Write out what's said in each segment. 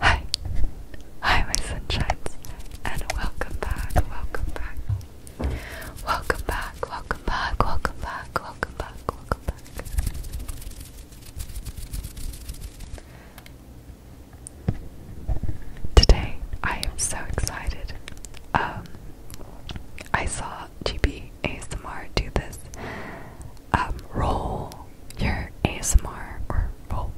Hi, hi, my sunshines, and welcome back, welcome back, welcome back, welcome back, welcome back, welcome back, Today, I am so excited. Um, I saw GB ASMR do this um, roll your ASMR or roll.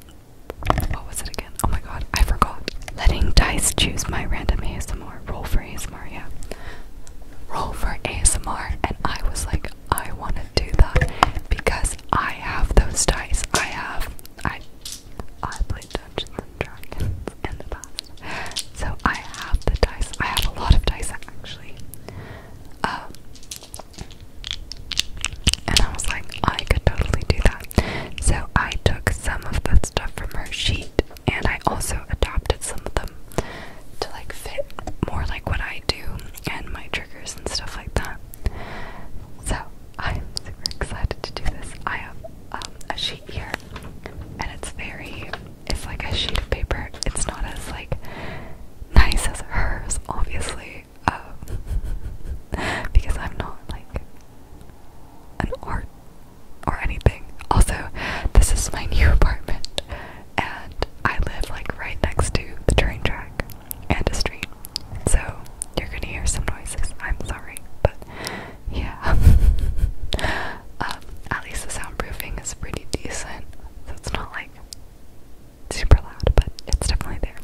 What was it again? Oh my god, I forgot. Letting dice choose my random ASMR. Roll for ASMR, yeah. Roll for ASMR, and I was like, I want to do that because I have those dice. I have. I I played Dungeons and Dragons in the past, so I have the dice. I have a lot of dice actually. Um, and I was like, I could totally do that. So I took some of the stuff from her sheet and I also adopted some of them to like fit more like what I do and my triggers and stuff like that. So I'm super excited to do this. I have um, a sheet here and it's very, it's like a sheet of paper. It's not as like nice as hers, obviously, um, because I'm not like an art or anything. Also, this is my new apartment, and I live like right next to the train track and a street, so you're gonna hear some noises. I'm sorry, but yeah. Um, at least the soundproofing is pretty decent, it's not like super loud, but it's definitely there.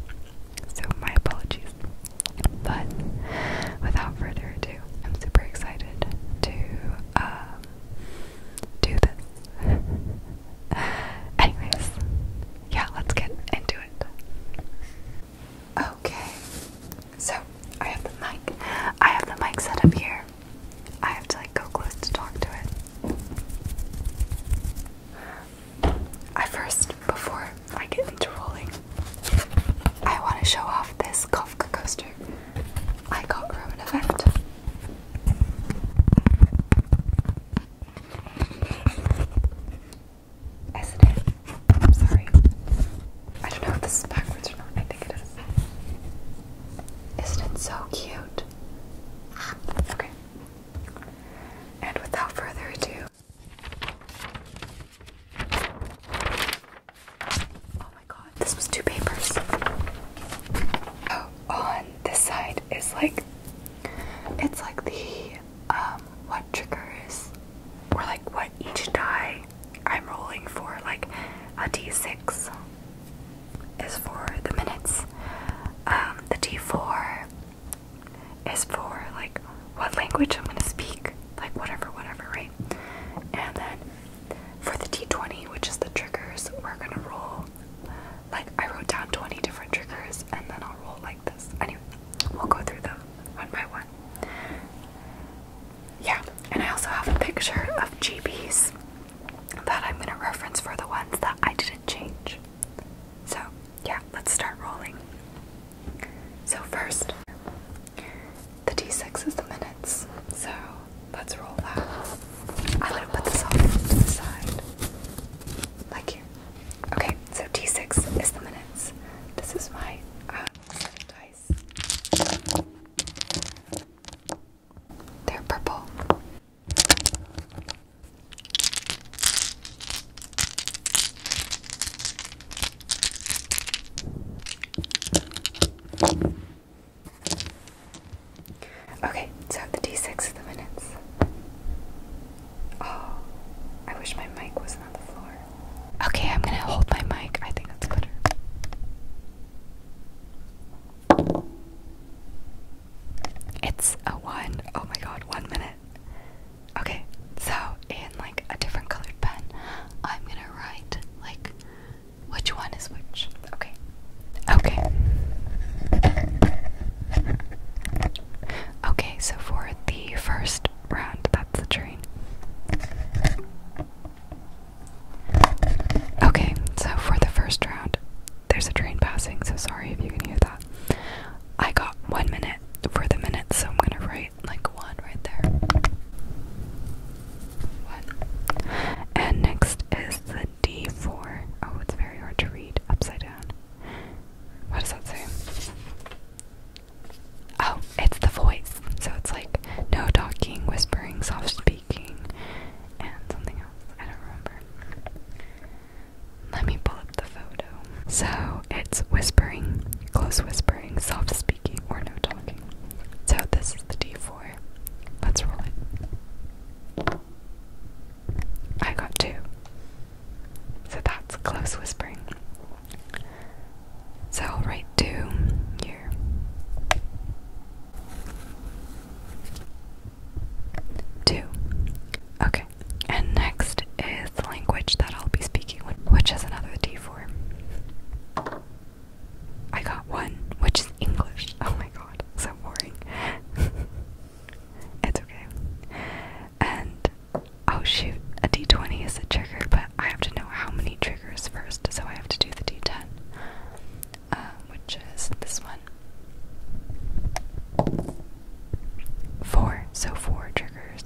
So my apologies. But without further ado, I'm super excited to um, do this. Anyways, yeah, let's get into it. Okay, so I have the mic. I have the mic set up here. I have to like go close to talk to it. I first, before I get into rolling, I want to show off this Kafka coaster I got from an event. Is it in? I'm sorry. I don't know if this backwards or not. I think it is. Isn't it so cute? Okay. And without further ado. Oh my god, this was two papers. Oh, on this side is like it's like the um what triggers or like what each die I'm rolling for like a d6 is for the minutes. Um, the T4 is for like what language I'm gonna speak, like whatever, whatever, right? And then for the T20, which is the triggers, we're gonna roll. Like I wrote down 20 different triggers, and then I'll roll like this. Anyway, we'll go through them one by one. Yeah, and I also have a picture of GB's that I'm going to reference for the ones that I didn't change. So, yeah, let's start rolling. So, first, the d6 is the minutes. So, let's roll that. I'm going to put this off to the side. Like here. Okay, so d6 is the minutes. This is my uh, set of dice. They're purple. Okay, so the D6 is the minutes. Oh, I wish my mic wasn't on the floor. Okay, I'm gonna hold my mic. I think that's better. It's a one. Oh my god, one minute. Okay, so in like a different colored pen, I'm gonna write like which one is which. Okay. Okay. Okay, so for the first round, that's the train. Okay, so for the first round, there's a train passing, so sorry if you can hear that. I got one minute for the minute, so I'm gonna write like one right there. One. And next is the D4. Oh, it's very hard to read upside down. What does that say? Oh, it's the voice. So it's like no talking, whispering, soft speaking, and something else. I don't remember. Let me pull up the photo. So it's whispering, close whispering, soft speaking, or no talking. So this is the D4. Let's roll it. I got two. So that's close whispering. So I'll write two here. Two. Okay. And next is the language that I'll be speaking, with, which is another D four. I got one, which is English. Oh my god, so boring. it's okay. And oh shoot, a D20 is a trigger, but I have to know how many triggers first, so I have to do the d10, uh, which is this one. Four, so four triggers.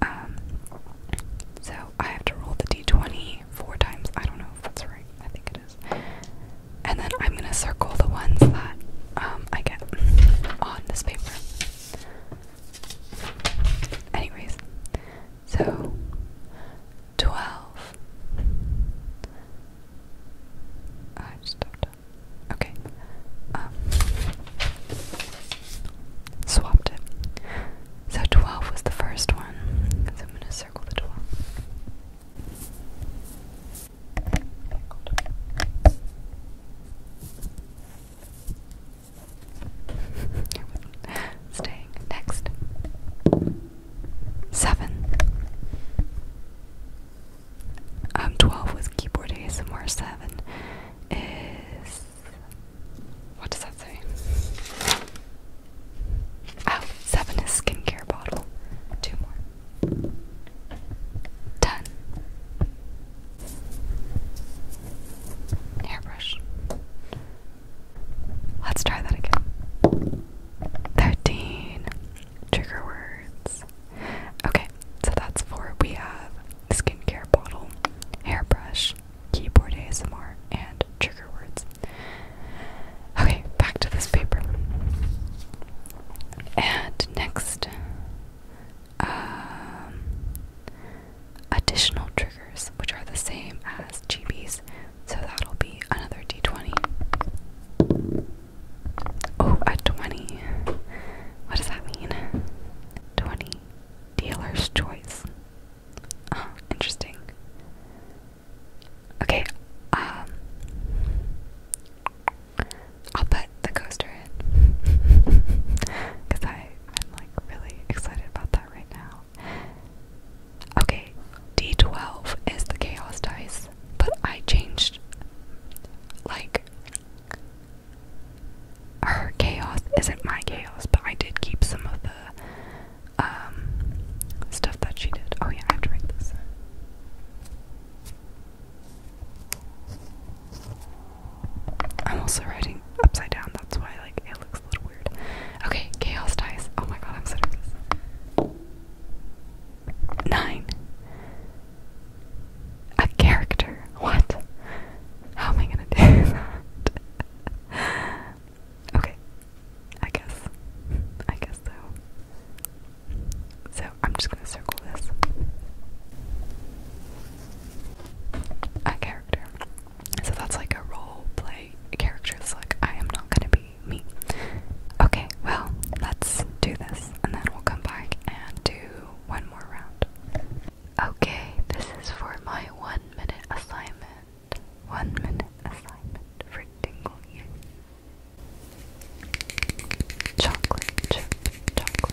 Um, so I have to roll the d20 four times. I don't know if that's right. I think it is. And then I'm gonna circle the ones that um, I get on this paper. Anyways, so, twelve. I stopped. Okay. Um, swapped it. So twelve was the first one. So I'm gonna circle the twelve. Staying next. Seven. Um, twelve with keyboard ASMR. Seven is what does that say? Oh, seven is skincare bottle. Two more. Ten. Airbrush. Let's try that again. 13 trigger words. Okay, so that's four. We have skincare bottle, hairbrush, keyboard ASMR, and trigger words. Okay, back to this paper. And next, um, additional triggers, which are the same as GBs, so that'll be another d20. Oh, a 20. What does that mean? 20. Dealer's choice. Oh, interesting. Okay, um, I'll put the coaster in because I, I'm like really excited about that right now. Okay, D12 is the chaos dice, but I changed like her chaos isn't my chaos, but I did keep some of the um stuff that she did. Oh yeah, I have to write this. I'm also writing upside down, that's why like it looks a little weird. Okay, chaos dies. Oh my god, I'm so nervous. Nine. A character. What? How am I gonna do that? okay. I guess. I guess so. So I'm just gonna circle this a character. So that's like a role play character. It's like, I am not gonna be me. Okay, well, let's do this and then we'll come back and do one more round. Okay, this is for my one minute assignment. One minute assignment for Dingle You. Chocolate chocolate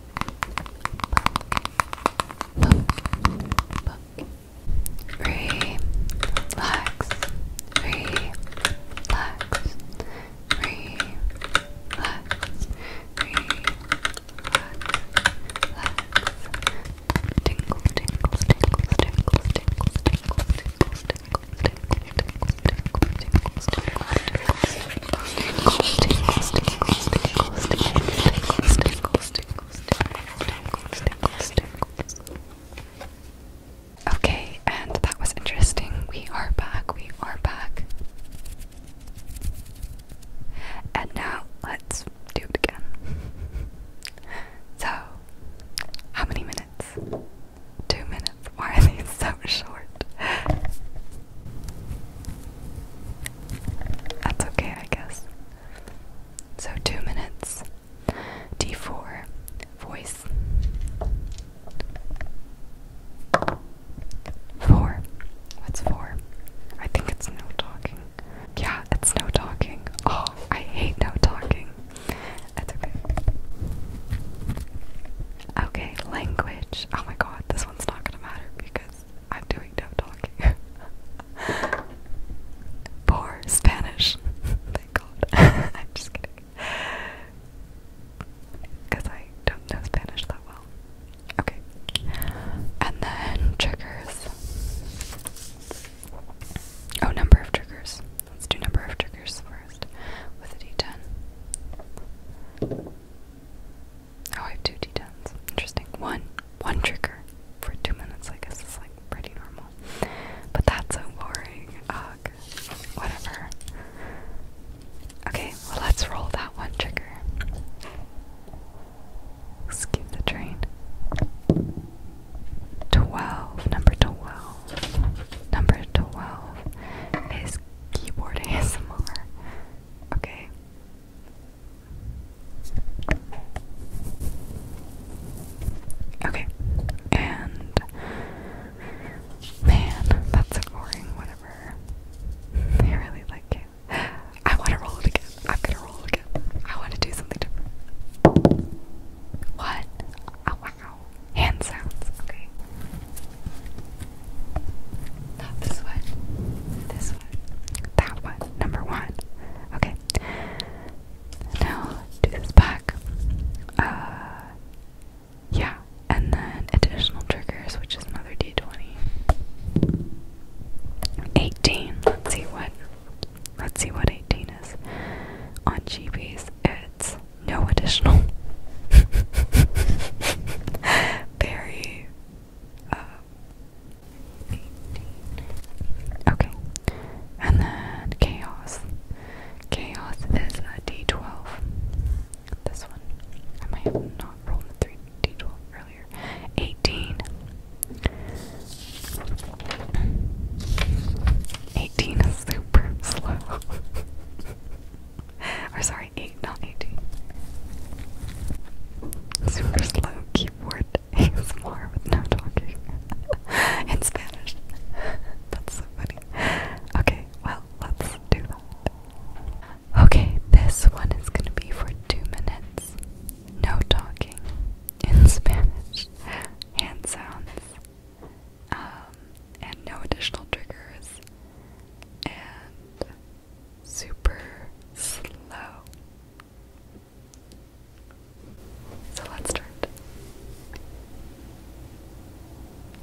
Relax. Relax. Relax. Relax. Tingle, tingle, tingle, tingle, tingle, tingle, tingle, tingle, tingle, tingle, tingle, tingle, tingle, Okay, and that was interesting. We are back, we are back. And now let's do it again. So, how many minutes? Two minutes. Why are these so short? That's okay, I guess. So, two minutes. D4, voice. Four. What's four? I think it's no talking. Yeah, it's no talking. Oh, I hate no talking. That's okay. Okay, language. Oh my god, this one's not gonna matter because I'm doing no talking. Poor Spanish. Thank God. I'm just kidding. Because I don't know Spanish that well. Okay. And then triggers. Oh, number of triggers. Let's do number of triggers first with a d10. Oh, I have two Interesting. One. One trigger for two minutes, I guess it's like pretty normal. But that's so boring. Ugh. Whatever. Okay, well let's roll that one trigger. Skip the train. Twelve. Number twelve. Number twelve is keyboard ASMR. Okay. Okay, and man, that's scoring, whatever. I really like it. I want to roll it again. I'm gonna roll again. I want to do something different. What? Oh wow. Hand sounds. Okay. Not this one. This one. That one. Number one. Okay. Now do this back. Uh yeah. And then additional triggers, which is another D twenty. 18. Let's see what let's see what 18 is. On GBs, it's no additional. Very uh, 18. Okay, and then chaos. Chaos is a d12. This one. I might not rolled the 3 d12 earlier. 18. 18 is super slow. or sorry, eight, not eighteen. Super slow keyboard ASMR with no talking in Spanish. That's so funny. Okay, well, let's do that. Okay, this one is gonna be for two minutes. No talking in Spanish. Hand sounds. Um, and no additional triggers and super slow. So let's start.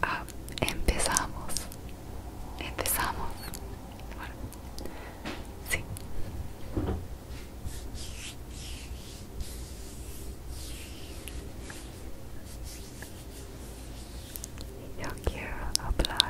Ah, empezamos. Empezamos. Sí. Your 여기를 apply.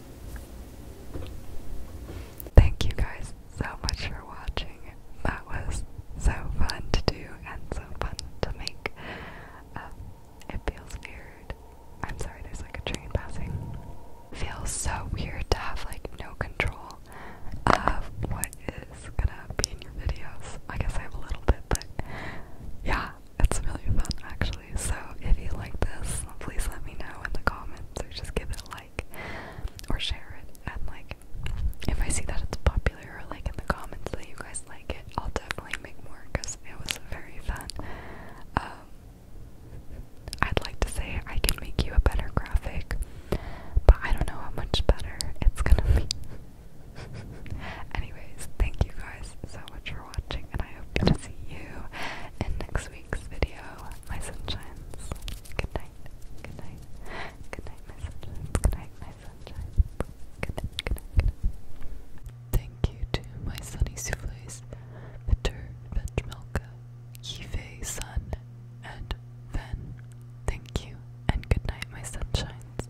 Thank you guys so much for watching. That was so fun to do and so fun to make. Um, it feels weird. I'm sorry, there's like a train passing. Feels so weird to have like no control of what is gonna be in your videos. I guess I have a little bit, but yeah, it's really fun actually. So if you like this, please let me know in the comments so just give it a like or share it. And like, if I see that it's popular or like in the comments that you guys like it, I'll definitely make more because it was very fun. Um, I'd like to say I can make you a better graphic, but I don't know how much better it's gonna be. Anyways, thank you guys so much for watching, and I hope to see you in next week week's video, my sunshines. Good night, good night, good night, my sunshines. Good night, my sunshines. Good night, good night, Thank you to my sunny souffles, Peter, Vetchmelka, Yves, Sun, and Ven. Thank you, and good night, my sunshines.